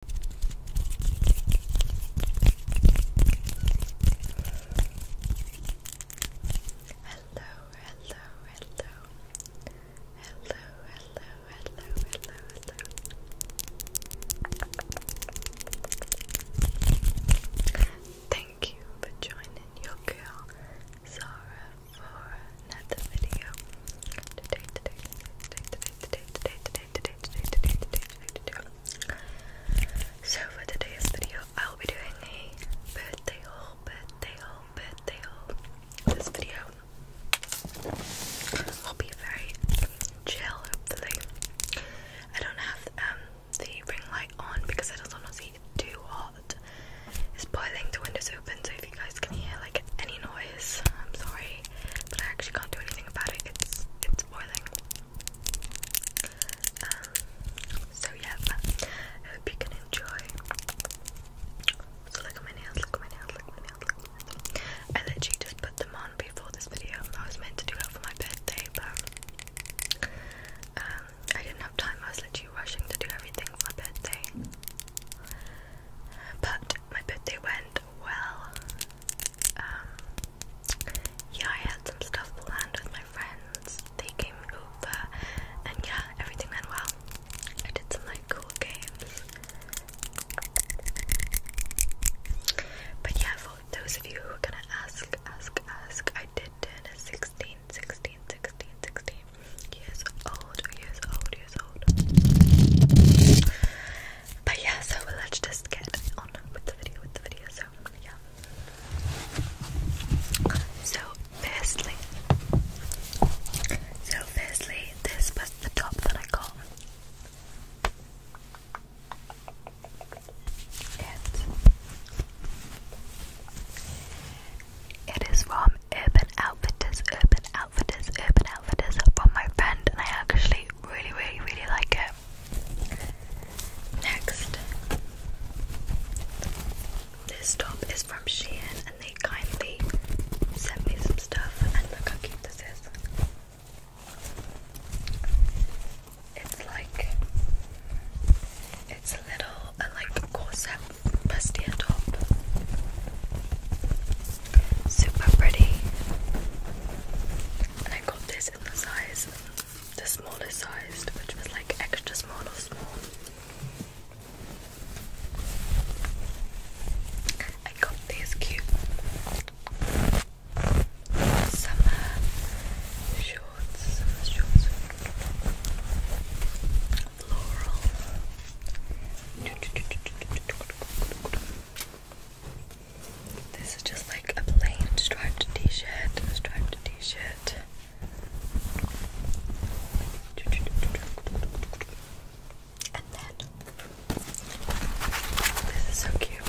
Hello, hello, hello. Hello, hello, hello, Thank you for joining your girl Zara for another video. today, today, today, today, today, today, today, so for today's video, I'll be doing a birthday haul, birthday haul, birthday haul. This video will be very chill, hopefully. I don't have um, the ring light on because I don't want to see too hot. It's boiling, the window's open, so if you guys can hear like any noise, I'm sorry but I actually can't do anything about it. It's it's boiling. Um, so yeah, I hope you can enjoy. So look at my nails, look at my nails, look at my nails, look at my nails. I literally just put them on before this video. I was meant to do it for my birthday, but um, I didn't have time. I was literally rushing to do everything for my birthday. But my birthday went well um, yeah, I had some stuff planned with my friends. They came over, and yeah, everything went well. I did some like cool games. But yeah, for those of you who are gonna ask, ask, ask, I did turn 16, 16, 16, 16 years old, years old, years old. But yeah, so let's just get on with the video, with the video, so yeah. So firstly, so firstly, this was the top that I got. It, it is from Urban Outfitters, Urban outfitters, Urban Outfitters from my friend, and I actually really, really, really like it. Next, this top is from Shein, and they kindly sent me some stuff. And look how cute this is. It's like it's a little, like corset bustier top super pretty. I got this in the size, the smallest size, which was like extra small or small. I got these cute summer shorts, summer shorts, floral. This is just like a plain striped t-shirt, striped t-shirt. this is so cute.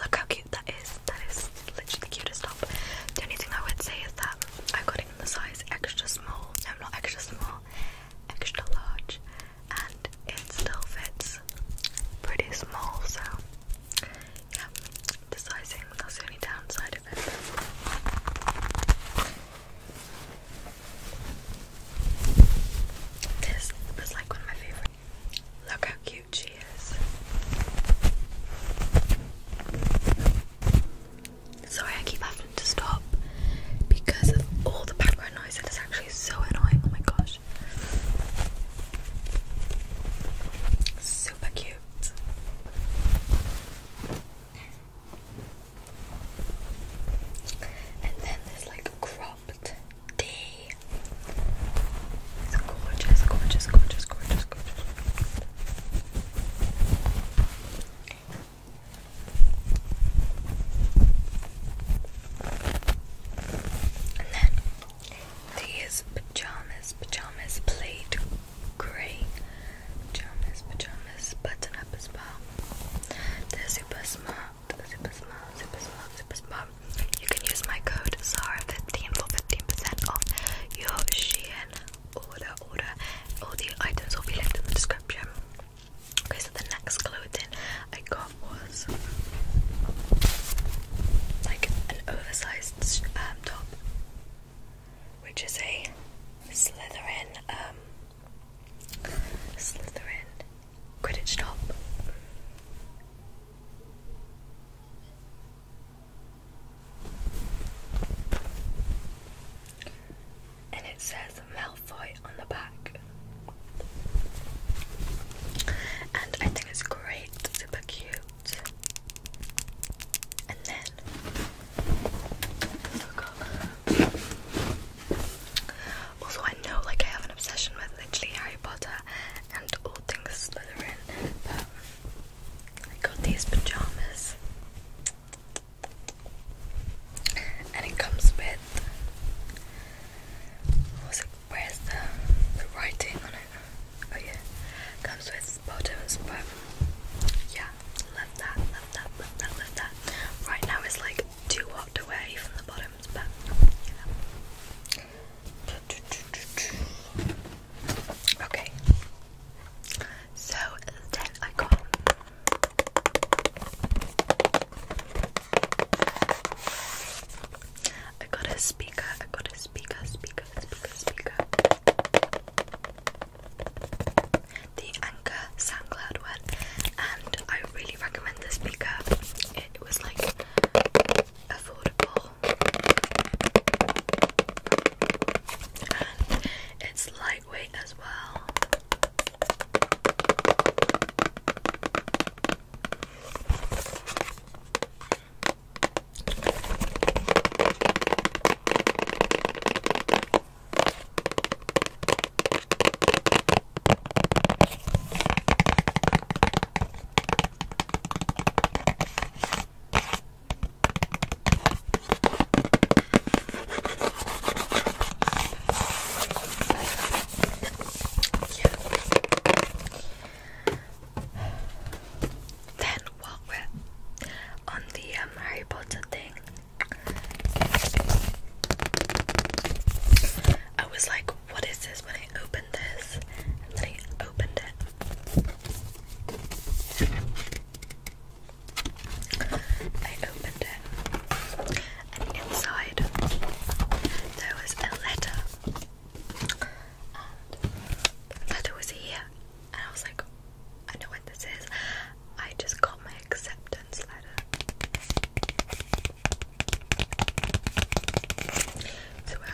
Look how cute that is. That is literally the cutest top. The only thing I would say is that I got it in the size extra small. No, not extra small, extra large. And it still fits pretty small, so yeah, the sizing, that's the only downside of it. This was like one of my favourite Look how cute she is. Sorry, I keep having to stop because of all the background noise. It is actually so annoying. Oh my gosh. Super cute. And then there's like cropped day. It's gorgeous, gorgeous, gorgeous, gorgeous, gorgeous. And then these pajamas, pajamas, plaid grey pajamas, pajamas, button up as well. they super smart super smart, super smart, super smart. You can use my code Zara15 for 15% off your Shein order. All the items will be linked in the description. Okay, so the next clothing I got was like an oversized um, top, which is a Slytherin, um, Slytherin Quidditch stop. And it says Malfoy on the back. And I think it's great, super cute. And then I oh also, I know like I have an obsession with literally Harry Potter and all things Slytherin, but I got these pajamas, and it comes with Where's the, writing on it? Oh yeah, comes with bottoms, but yeah, love that, love that, love that, love that. Right now it's like too hot to wear the bottoms. Okay. So then I got I got a speaker, I got a speaker, speaker, speaker, speaker. The Anchor SoundCloud one, and I really recommend this speaker it was like affordable. And it's lightweight as well. Then while we on the um, Harry Potter thing, I was like, what is this? When I opened this, and then I opened it. I opened it, and inside there was a letter, and the was here, and I was like, I know what this is. I just got my acceptance letter. So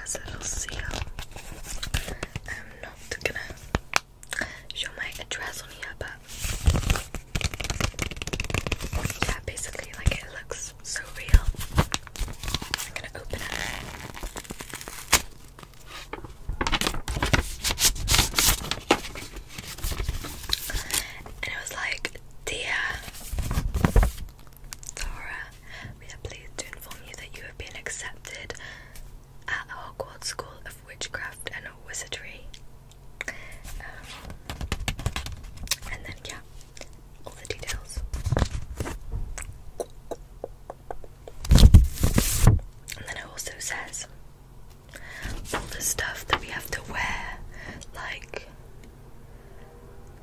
as you'll see, I'm not gonna show my address on here, but yeah, basically, like it looks so real. I'm gonna open it. And it was like, Dear Dora, we are pleased to inform you that you have been accepted at the Hogwarts School of Witchcraft and Wizardry. Um, and then, yeah, all the details. And then it also says all the stuff that we have to wear, like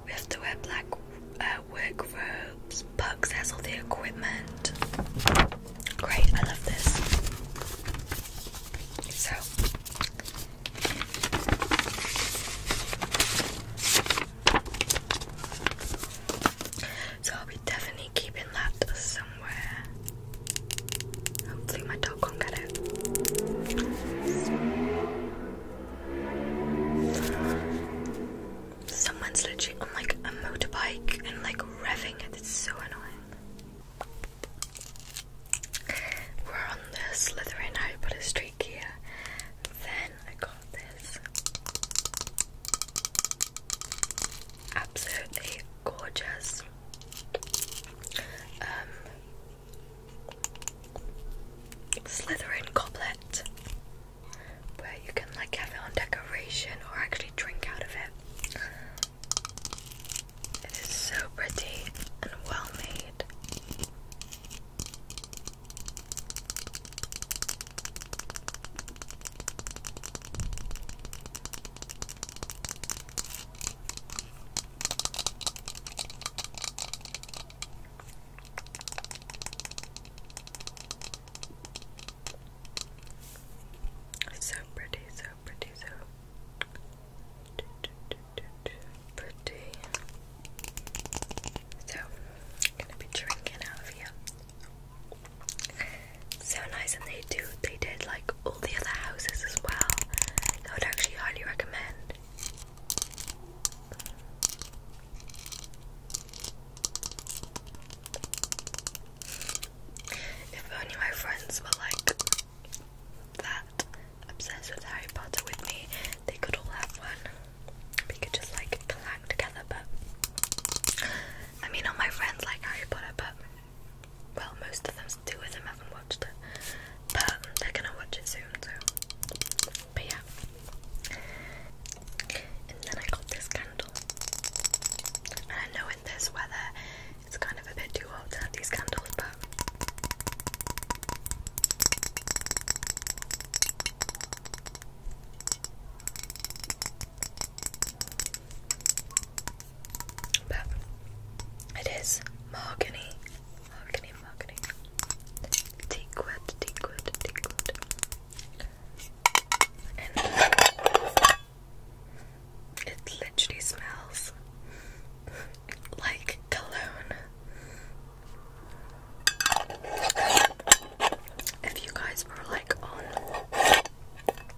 we have to wear black uh, work robes. Pugs has all the equipment. Great, I love this. So. So I'll be definitely keeping that somewhere. Hopefully my dog won't get it. Someone's literally on like a motorbike and like revving it. It's so annoying. We're on the Slytherin Harry Potter Street gear. Then I got this absolutely gorgeous um Slithering goblet, where you can like have it on decoration or actually drink out of it. It is so pretty and well made. So pretty, so pretty, so pretty. So, gonna be drinking out of you. So nice, and they do. They did like all the other houses as well. I would actually highly recommend. If only my friends were like that obsessed with Harry Potter with me, they could all have one. We could just like collab together, but I mean, all my friends like Harry Potter, but well, most of them, two with them haven't watched it, but they're gonna watch it soon, so, but yeah, and then I got this candle, I know in this weather, it's kind of a bit too hot to have these candles, but, but it is mahogany, mahogany, mahogany. Teakwood, teakwood, teakwood. And it literally smells like cologne. If you guys were like on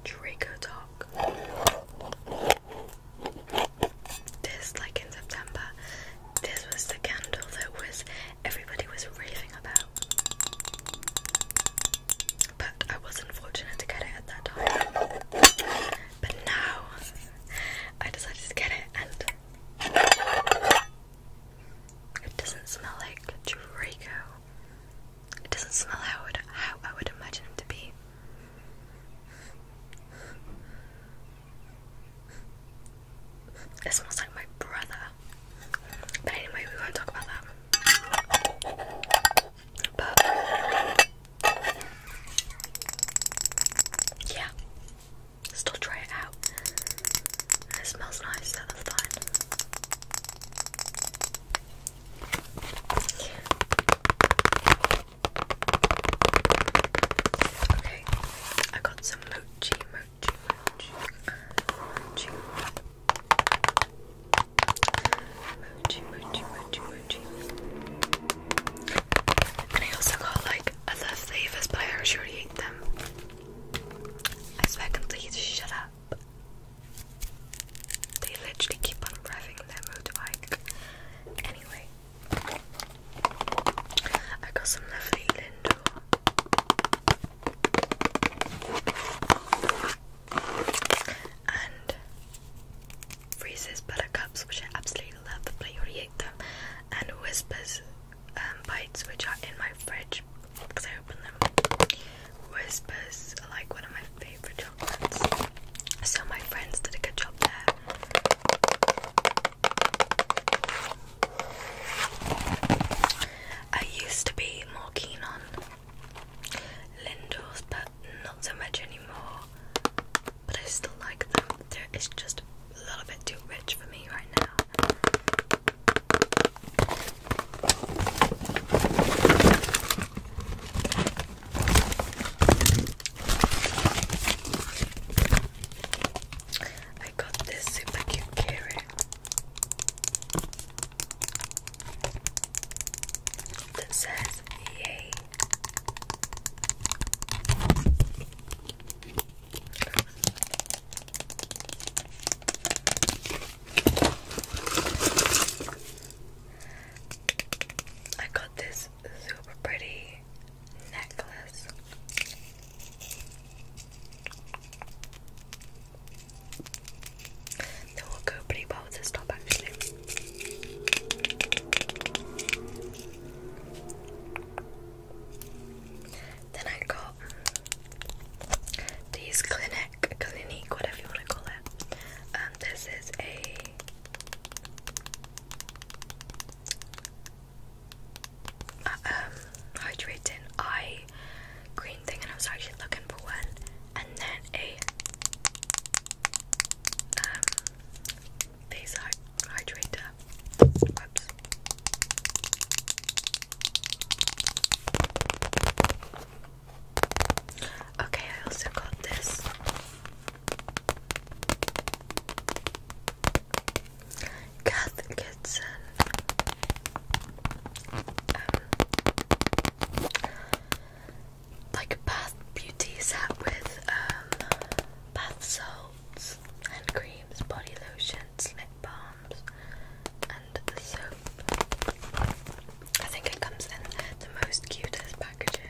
Draco Talk, this like in September. This was the candle that was everybody was raving about. But I wasn't fortunate to get it at that time. But now I decided to get it and it doesn't smell like Draco. It doesn't smell how, I would imagine it to be. It smells like my brother. But anyway, we won't talk about that. But yeah, still try it out. It smells nice, that's fine. Okay, I got some mochi, mochi, mochi, mochi, mochi, mochi, mochi, mochi. And I also got like other flavors, but I actually already ate them. I swear, can please shut up? They literally keep on revving their motorbike. Anyway, I got some lovely Lindor and Freezes Buttercups, which I absolutely love, the Playoriate them, and Whispers um, Bites, which are in my fridge because I open them. Whispers like one of my favorite chocolates. So my friends did a good job there. I used to be more keen on Lindor's, but not so much anymore. But I still like them. They're, just a little bit too rich for me right now. I got this super cute carrot that says yay. I got this super pretty necklace. That will go pretty well with this top actually. Then I got these Clinique, Clinique, whatever you want to call it. Um, this is a Okay. Uh, um, hydrating eye green thing, and I was actually looking for one, and then a um face hydrator. Okay, I also got this. Kath Kitson. Um, like bath beauty set with um, bath salts, hand creams, body lotions, lip balms, and soap. I think it comes in the most cutest packaging.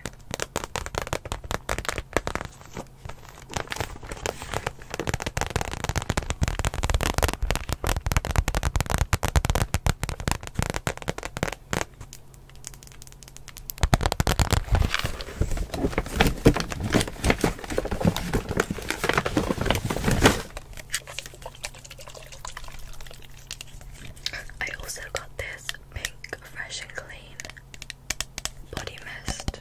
I also got this Mink Fresh and Clean Body Mist.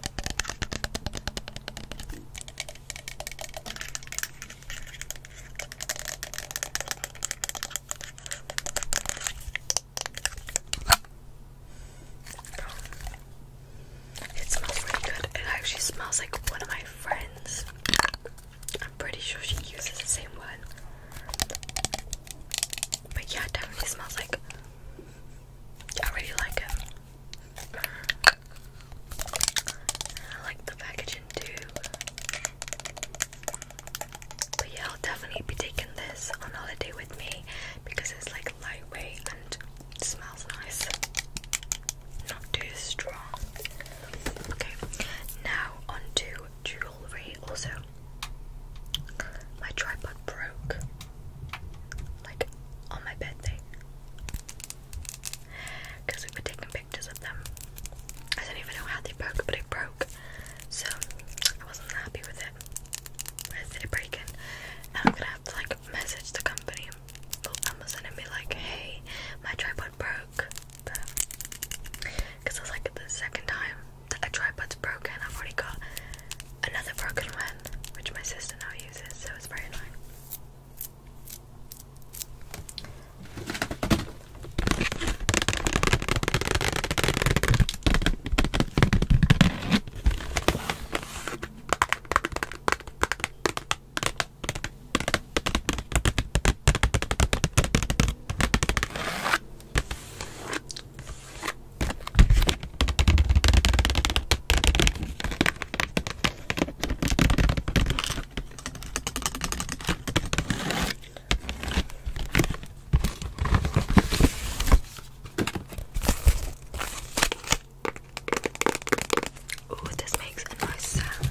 It smells really good. It actually smells like one of my friends I'm pretty sure she uses the same one. But yeah, definitely smells like. I really like it. I like the packaging too. But yeah, I'll definitely be taking this on holiday with me because it's like lightweight and smells nice. Not too strong. Okay, now on jewelry. Also, my tripod broke, like on my bed because we were taking pictures of them. I don't even know how they broke, but it broke, so I wasn't happy with it. With it breaking, now I'm gonna have to like message the company. Amazon and be like, hey, my tripod broke. Because I was like, the second time that a tripod's broken, I've already got another broken one, which my sister now uses, so it's very annoying. Oh, this makes a nice sound.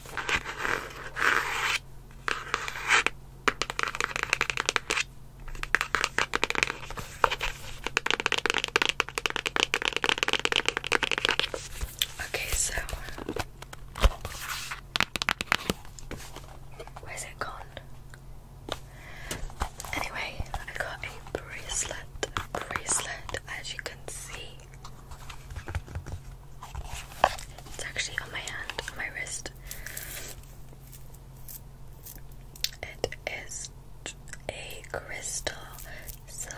Okay, so where's it gone? Anyway, I got a bracelet. Bracelet, as you can see, it's actually on my hand, on my wrist. It is a crystal silver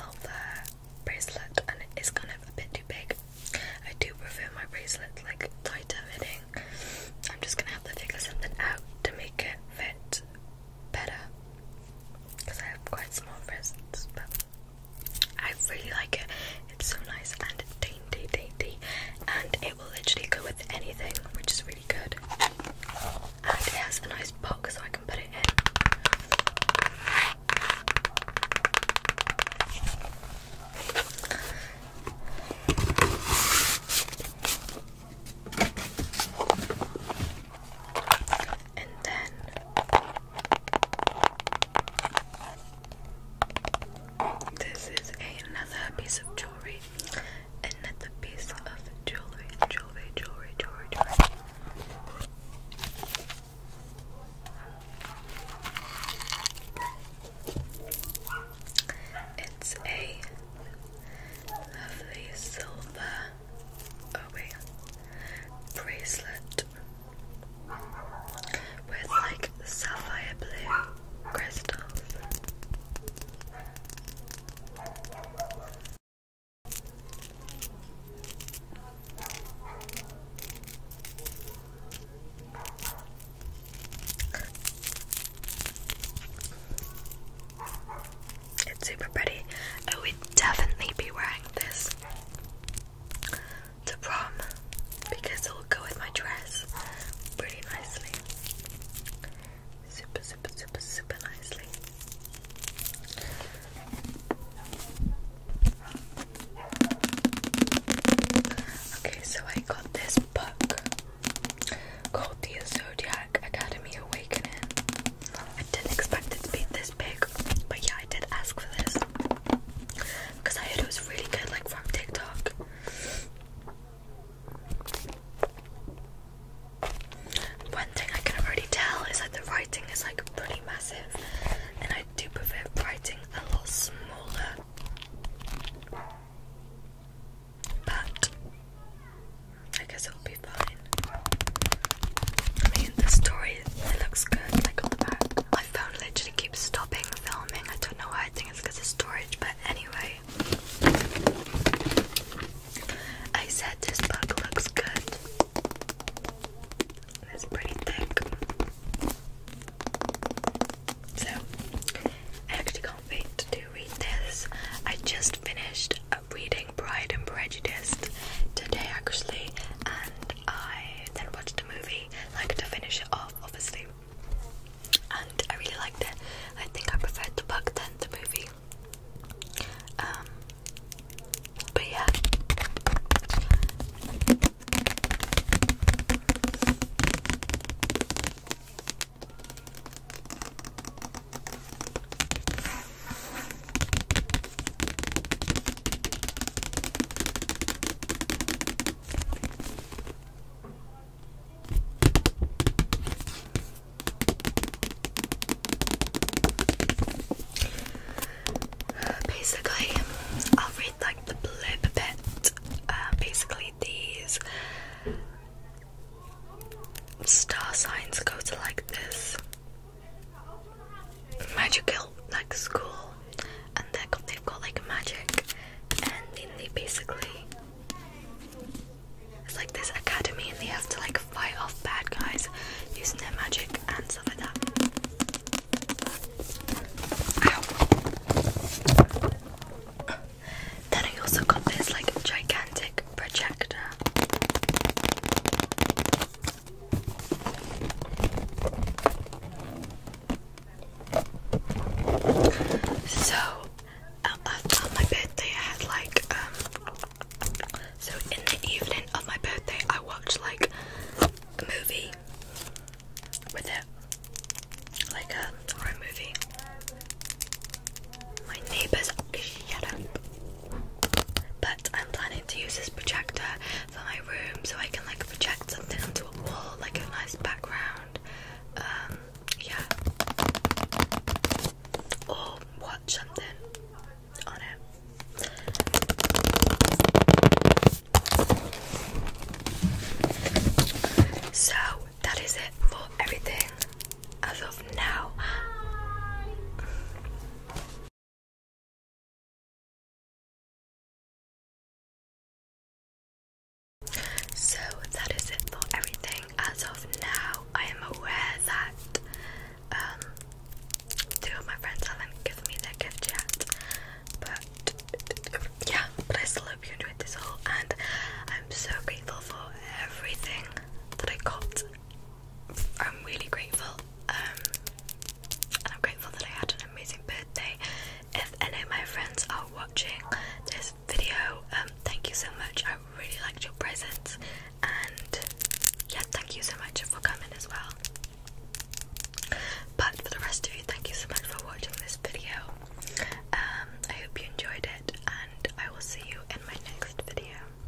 bracelet and it is kind of a bit too big. I do prefer my bracelet like tighter fitting. I'm just gonna have to figure something out to make it fit better because I have quite small wrists, but I really like it. It's so nice and dainty, dainty, and it will literally go with anything, which is really good. And it has a nice box so I can put it in and then this is another piece of jewelry. Another piece of jewelry, jewelry, jewelry, jewelry. It's a lovely silver oh wait, bracelet with like sapphire blue crystals. It's super pretty. I would definitely be wearing this to prom because it will go with my dress pretty nicely. Super, super, super, super nicely. Okay, so I got this book called The Zodiac Academy Awakening. I didn't expect it to be this big, but yeah, I did ask for this because I heard it was really good, like from TikTok. One thing I can already tell is that the writing is like pretty massive, and I do prefer writing a lot smaller. But I guess it'll the story it looks good, like on the back. My phone literally keeps stopping filming. I don't know why. I think it's because of storage, but anyway. I said this book looks good. It's pretty thick. So, I actually can't wait to read this. I just finished reading Pride and Prejudice today actually, and I then watched a movie, like to finish it off, obviously. And I really liked it. I think I preferred the book than the movie. Um, but yeah. Basically, I'll read like the blurb bit. Uh, basically, these star signs go to like this magical like school and they've got like magic and then they basically it's like this academy and they have to like fight off bad guys using their magic and stuff like that then I also got this like gigantic projector so, on my birthday, I had like, um, so in the evening of my birthday, I watched like a movie with it, like a horror movie. My neighbours, shut but I'm planning to use this projector for my room so I can like project something onto a wall, like a nice background. Um, yeah. Or watch something on it. So that is it for everything as of now. So that is it for everything as of now. I am aware that um two of my friends haven't given me their gift yet. But yeah, but I still hope you enjoyed this haul and I'm so grateful for everything that I got I'm really grateful. Um, and I'm grateful that I had an amazing birthday. If any of my friends are watching this video, um, thank you so much. I really liked your presents, and yeah, thank you so much for coming as well. But for the rest of you, thank you so much for watching this video. Um, I hope you enjoyed it, and I will see you in my next video.